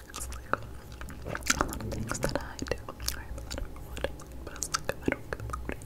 there's a lot of things that I do. I have a lot of wood, but it's like I don't give a what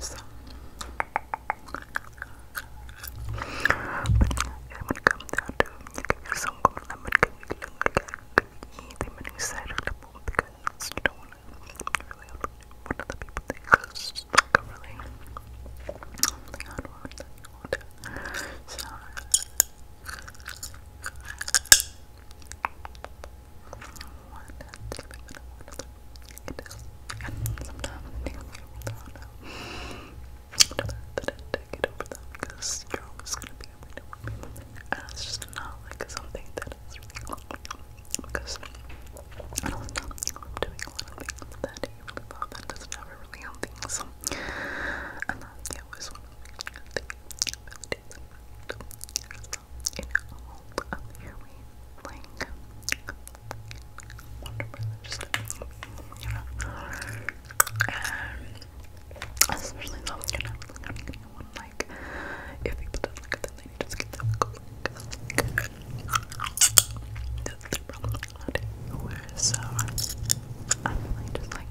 So, but yeah, when it comes down to you some gold lemon cake, the mini side of the bowl because you do to really what other people I don't want that. You want it. Sometimes I think i gonna get over them because you're always gonna be able to work people. And it's just not like something that is because I don't know, I'm doing a lot of things that day really pop and doesn't ever really help things. So, and that, yeah, was in all of your ways, wonderful, just, you know, and especially though, you know, like, if people don't like it, then they just get them like, that's their problem, not yours, so, I'm really just like,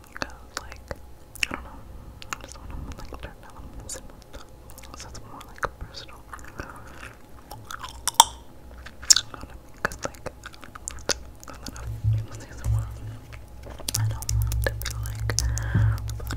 Because, like, I don't know. just want to, like, turn down the music. So it's more, like, personal. Because, like, I don't know. This is one. I don't want to be, like, about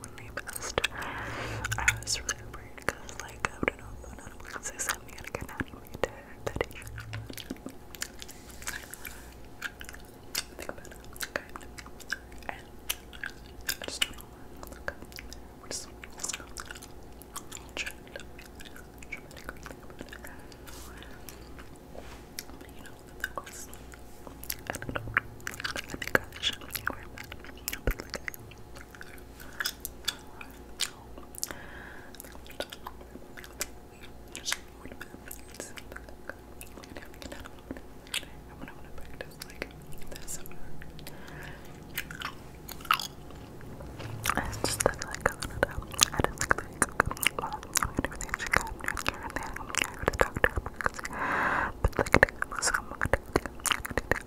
when they passed. I was really worried because, like, I wouldn't know on Netflix they sent me an again animated footage. Think about it. Kind of. just don't know where to just trying to you know, do of that. But like, I and I just like, I don't know. I just like, like, well, to do you I'm going to go to the doctor, I'm going to do, I'm going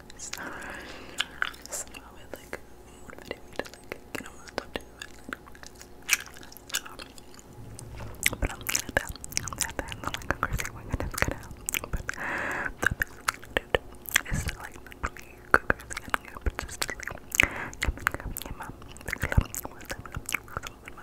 somehow it like motivated me to like get on my top two um, but I'm glad that I'm glad that I'm not like a crazy one and it's gonna help but the best is to like not be a good crazy and good but just to like come and come get my big love with them with my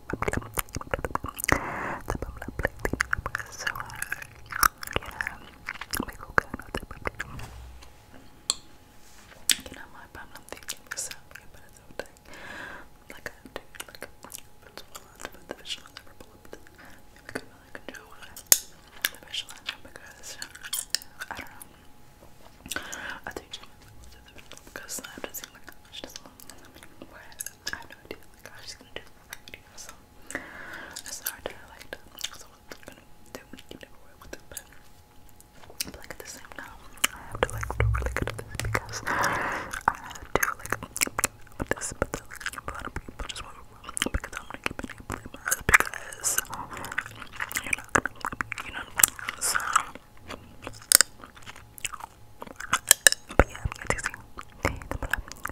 So, yeah, may ko gano'n, diba? Ginama pa lang thinking myself, Like I do, like, I can really control the the because, I don't know. I think the visual because what? I have no idea. Like, I'm just gonna do So that's not hard to like that. So I'm gonna do you it, but like at the same time, I have to like do really good at this because I have to like with this, but a lot of people just want to because I'm gonna keep it in because you're not gonna, you know, so. But yeah, I'm here to see the blood,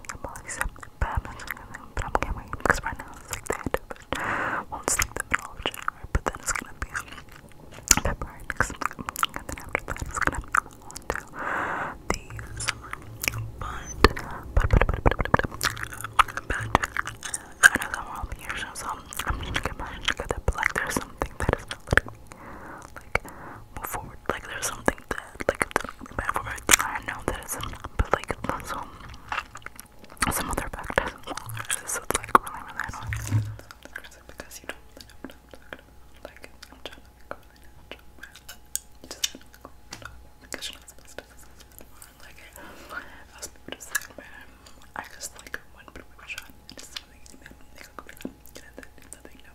the police, but I'm not sure but I'm getting because right now it's like that. won't sleep the middle but then it's gonna be February next month, and then after that it's gonna be on to the summer. But, but, but, but, but, but, but, but I know that I'm all here, so I'm gonna get my get that, but like there's something that is not letting like move forward. Like there's something that like bad for I know that it's but like also some other factors. This is like really really annoying. Because you don't like I'm trying to make right just because you're not supposed to like I was people to say man um, I just like one people shot and just something and then they go and then if nothing no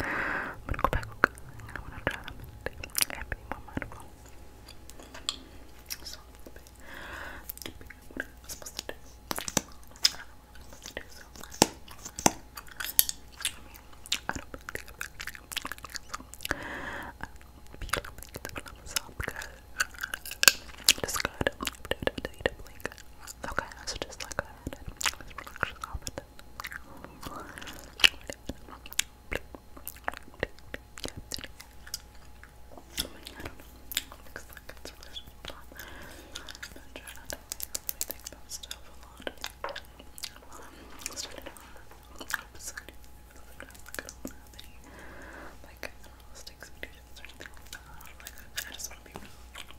I'm gonna go back and I'm gonna try to make it happy more mindful. So, what am I supposed to do? I don't know what I'm supposed to do, so. I mean, I don't really think I'm really so. I don't feel like it's about myself because it's good. I'm gonna do it, I'm gonna do it, I'm gonna do it. Okay, so just like that, and let's relax yourself and then looks like it's really fun. I try not to really think about stuff a lot. Um, started on episode, I don't have any, like, I don't know, sticks or anything like that. Like, I just want to be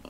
really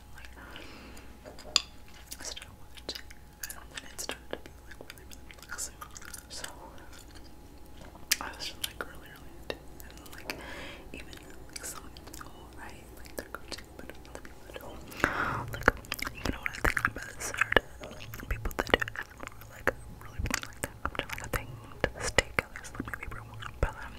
something like I started watching and when it started to be like really really relaxing. So I was just like really really into it and like even like some people right like they're coaching but other people don't like you know what I think about certain people that do like really like up to like a thing to the stake at least like maybe everyone but um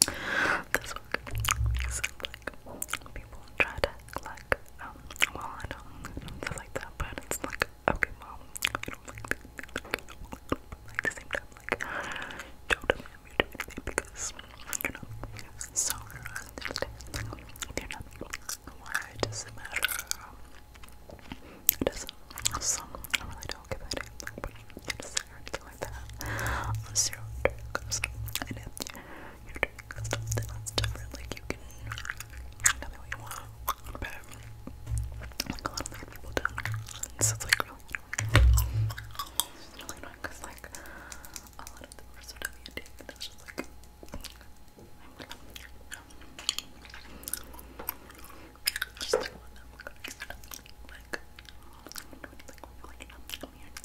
This work is like people try to like um, well I don't like that but it's like okay mom I don't like the same time like don't demand me to do because you know so you're not why does it matter it doesn't um, so I really don't give a damn something that. Unless you and if you're doing something different, like you can tell me what you want. But like a lot of people do. So it's like really annoying. because like a lot of them are so WD, but that's just like just like one that I'm gonna like like like like